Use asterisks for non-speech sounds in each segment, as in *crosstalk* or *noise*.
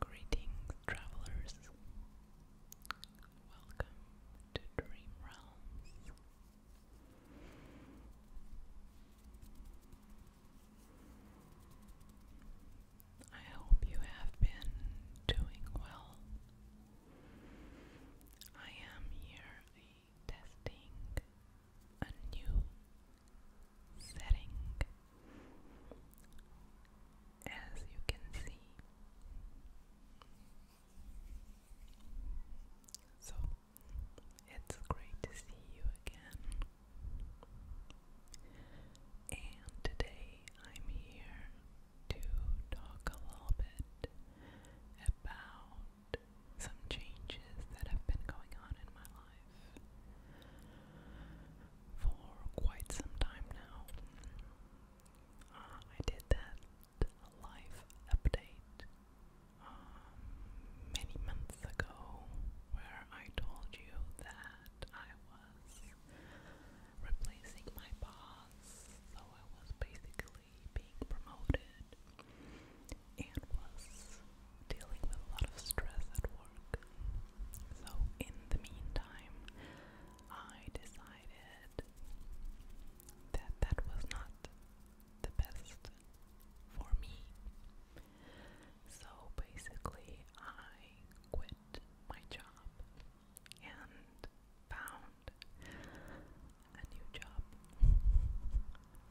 Greetings, travelers. Welcome to Dream Realms. I hope you have been doing well. I am here testing a new setting. As you can see, so it's great to see you again. And today I'm here to talk a little bit about some changes that have been going on in my life for quite some time now. Uh, I did that life update um, many months ago where I told you that I was replacing my boss, so I was basically being promoted and was dealing with a lot of stress at work. So, in the meantime, I decided that that was not the best for me. So, basically, I quit my job and found a new job.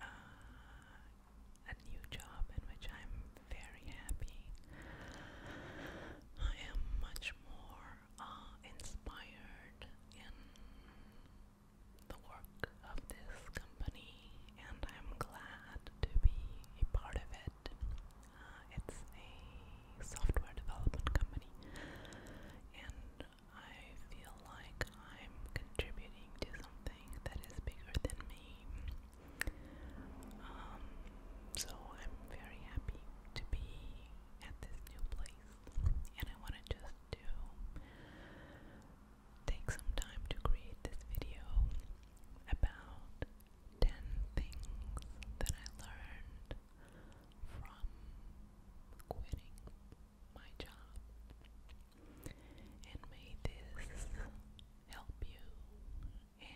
Uh, a new job in which I'm very happy. I am much more uh, inspired in the work of this company, and I'm glad to be a part of it. Uh, it's a software development company, and I feel like I'm contributing to something that is bigger than me. Um, so I'm very happy to be at this new place, and I want to just do take some time to create this video about 10 things that I learned from quitting my job and may this help you and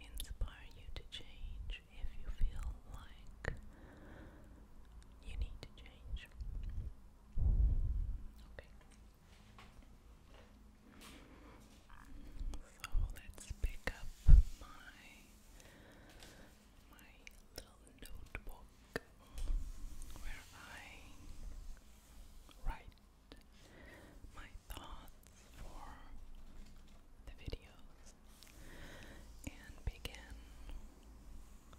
inspire you to change if you feel like you need to change. Okay. So let's pick up my my little notebook blog where I write my thoughts for the videos and begin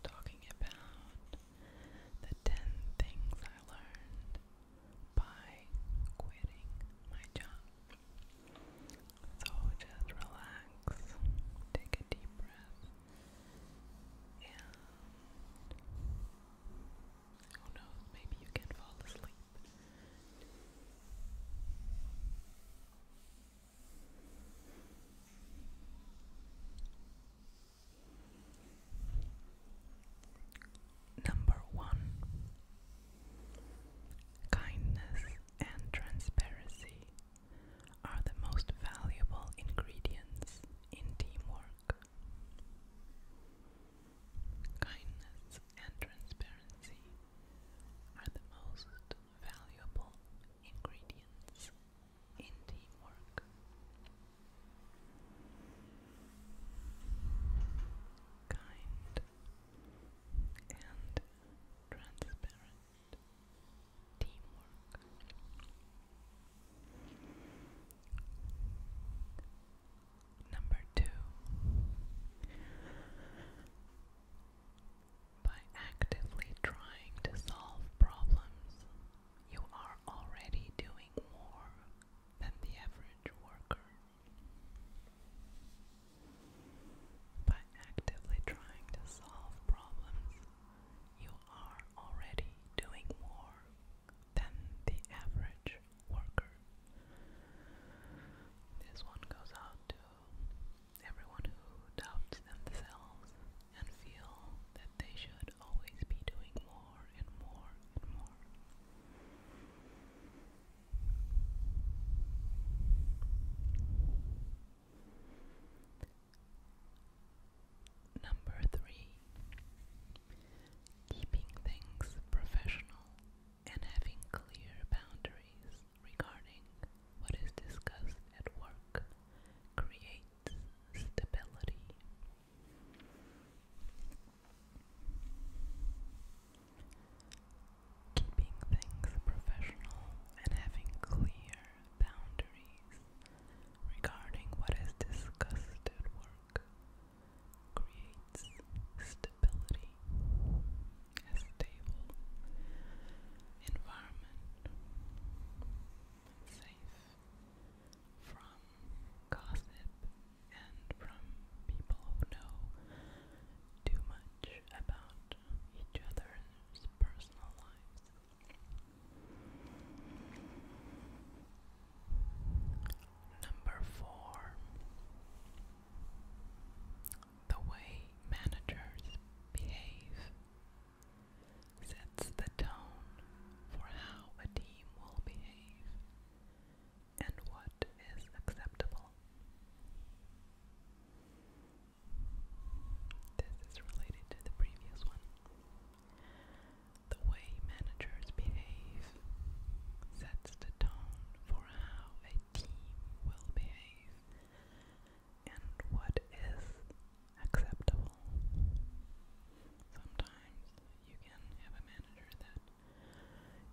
talking about the 10 things I learned by quitting my job. So just relax, take a deep breath, yeah. who knows, maybe you can fall asleep. Number one kindness and transparency are the most valuable ingredients in teamwork. Kindness and transparency are the most valuable ingredients in teamwork. Kind and transparent teamwork. Number two, by actively trying to solve problems, you are already doing more than the average worker. By actively trying to solve problems, you are already doing more than the average worker. This one goes out to everyone who doubts themselves and feel that they should always be doing more and more and more. Number three, keeping things professional and having clear boundaries regarding what is discussed at work creates stability. Keeping things professional and having clear boundaries regarding what is discussed at work creates stability, a stable environment, safe from gossip and from people who know too much about each other's personal lives. Number four. The way managers behave sets the tone for how a team will behave and what is acceptable. This is related to the previous one. The way managers behave sets the tone for how a team will behave and what is acceptable. Sometimes you can have a manager that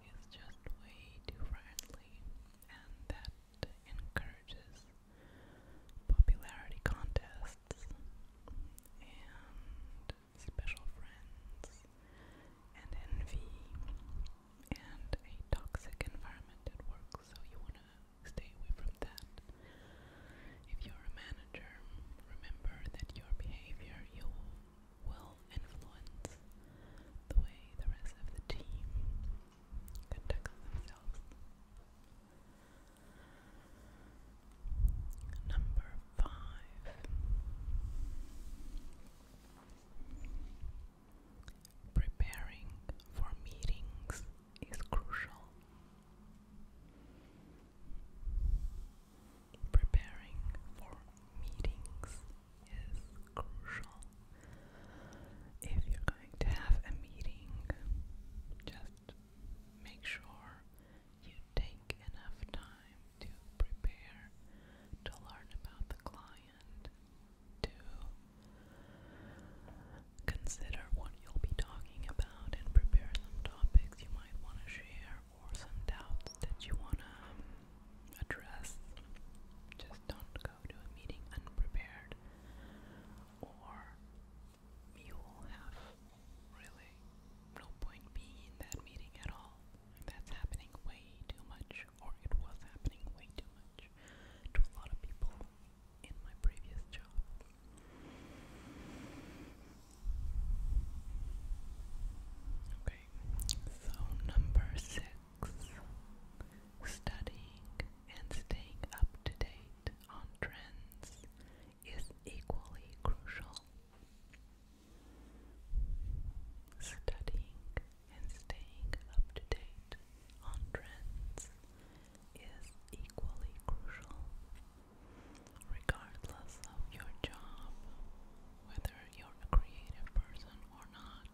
is just way too friendly and that encourages popularity contests and special friends and envy and a toxic environment at work, so you want to stay away from that. If you're a manager, remember that your behavior you will influence the way the rest of the team conducts themselves. Number five Preparing for meetings is crucial. Preparing for meetings is crucial. If you're going to have a meeting, just make sure you take enough time to prepare, to learn about the client, to consider what you'll be talking about, and prepare some topics you might want to share or some doubts that you want to um, address. Just don't go to a meeting unprepared or you have really no point being in that meeting at all. That's happening way too much, or it was happening way too much to a lot of people in my previous job. Okay, so number six studying and staying up to date on trends is equally crucial. Studying and staying up to date on trends is equally crucial, regardless of your job, whether you're a creative person or not.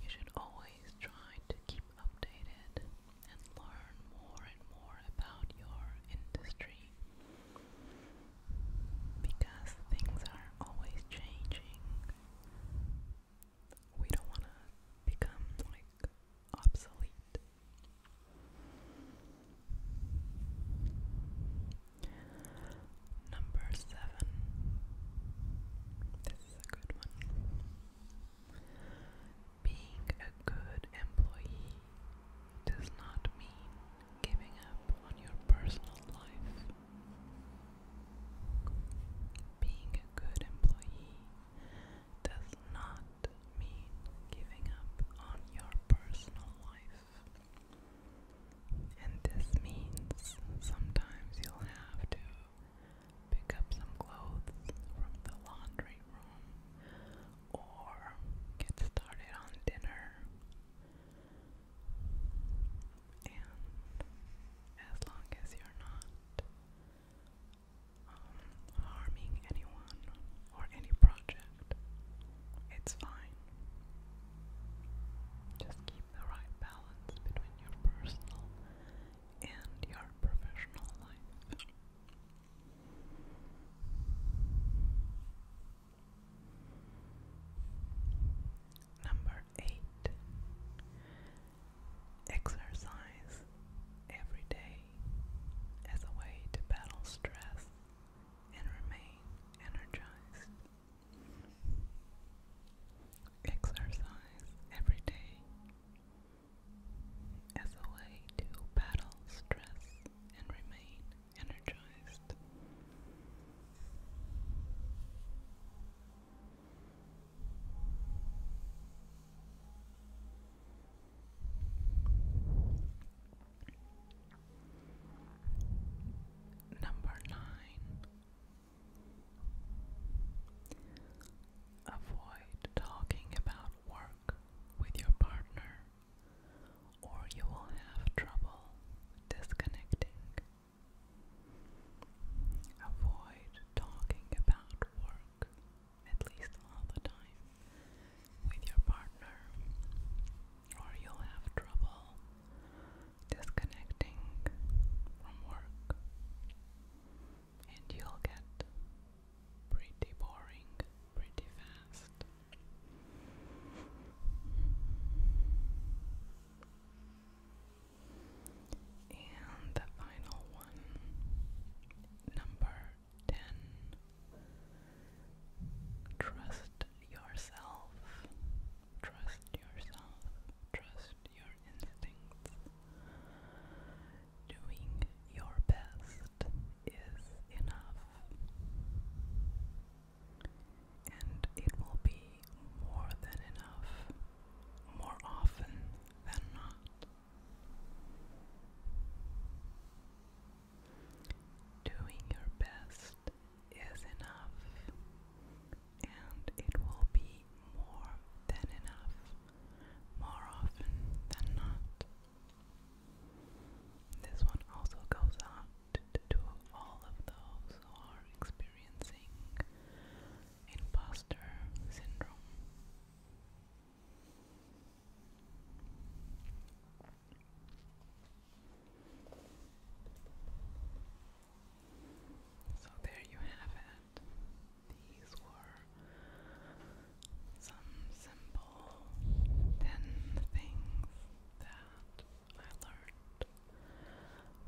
You should always try to keep updated and learn more and more about your industry because things are always changing. We don't want to become like obsolete. Number seven. This is a good one. Being a good employee does not mean giving up on your personal life. Being a good employee does not mean giving up on your personal life. And this means sometimes you'll have to pick up some clothes from the laundry room or get started on dinner. And as long as you're not um, harming anyone or any project, it's fine. Just keep the right balance between your personal and your professional life. Number eight Exercise every day as a way to battle stress and remain energized. Exercise every day as a way to battle stress and remain energized. Number nine. Avoid talking about work with your partner or you will have trouble disconnecting. Avoid talking about work, at least all the time, with your partner, or you'll have trouble disconnecting from work and you'll get pretty boring pretty fast. And the final one, number 10. Trust yourself. Trust yourself. Trust your instincts. Doing your best is enough, and it will be more than enough more often than not. Doing your best is enough, and it will be more than enough more often than not. This one also goes out to all of those who are experiencing imposter syndrome. So there you have it. These were some simple 10 things that I learned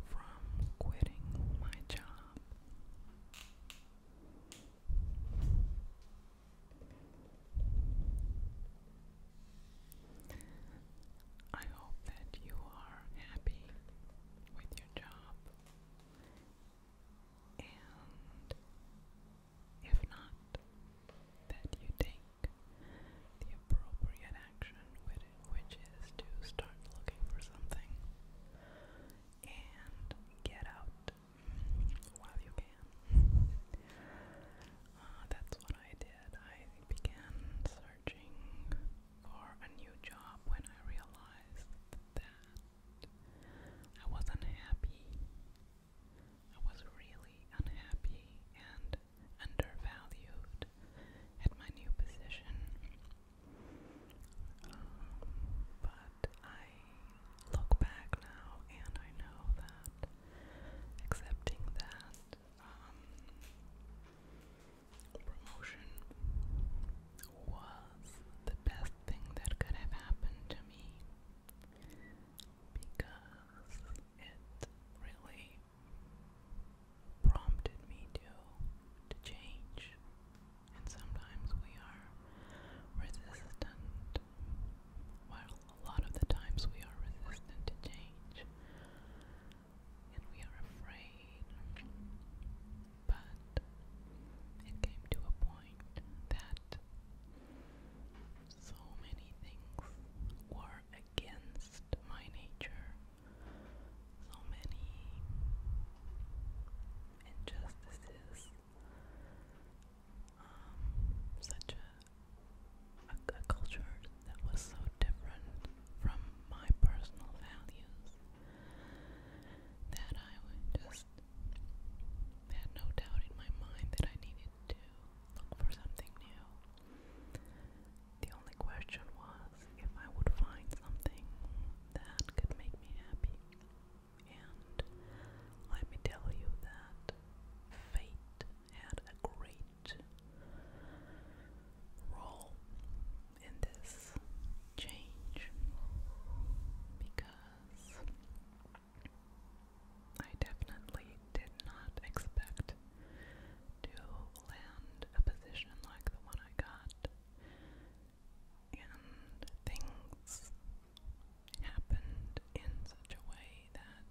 from quitting my job. I hope that you are happy with your job and if not, that you take the appropriate action, which is to start looking for something and get out while you can. Uh, that's what I did. I began searching for a new job when I realized that I wasn't happy I was really unhappy and undervalued at my new position. but I look back now and I know that accepting that um, promotion was the best thing that could have happened to me because it really prompted me to to change and sometimes we are resistant well a lot of the times we are resistant to change and we are afraid but it came to a point that so many things were against my nature. So many injustices. Um, such a, a, culture that was so different from my personal values that I just had no doubt in my mind that I needed to look for something new. The only question was if I would find something that could make me happy. And let me tell you that fate had a great role in this change because I definitely did not expect to land a position like the one I got. And things happened in such a way that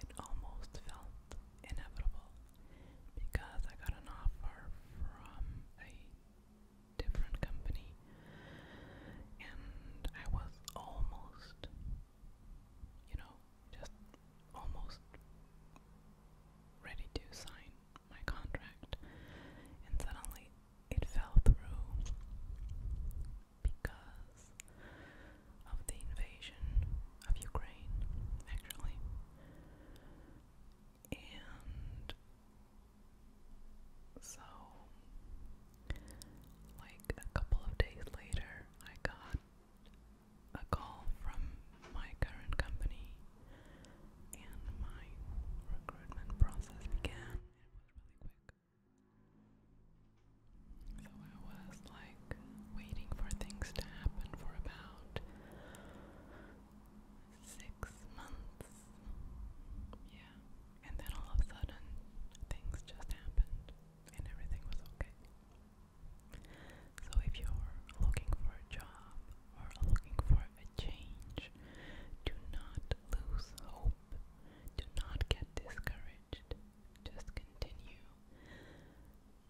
it almost felt inevitable because I got an offer from a different company and I was almost, you know, just almost ready to sign my contract, and suddenly it fell through because of the invasion of Ukraine, actually. And so like a couple of days later, I got a call from my current company, and my recruitment process began. It was really quick. So I was like waiting for things to happen for about six months. Yeah. And then all of a sudden, things just happened and everything was okay. So, if you're looking for a job or looking for a change, do not lose hope. Do not get discouraged. Just continue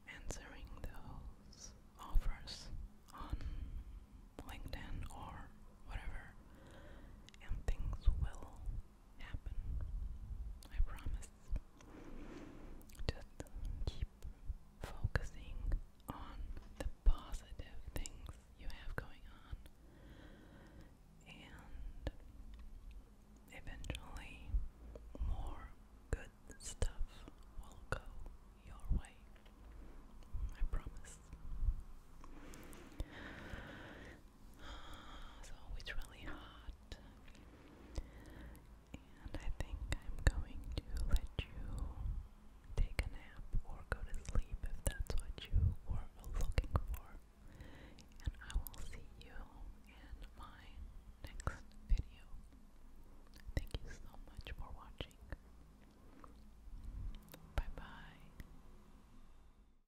answering those offers on LinkedIn or whatever, and things will happen. I promise. Just keep focusing on the positive things you have going on, and eventually, more good stuff will go your way. I promise so *sighs* it's really hot. And I think I'm going to let you take a nap or go to sleep if that's what you were looking for. And I will see you in my next video. Thank you so much for watching. Bye bye.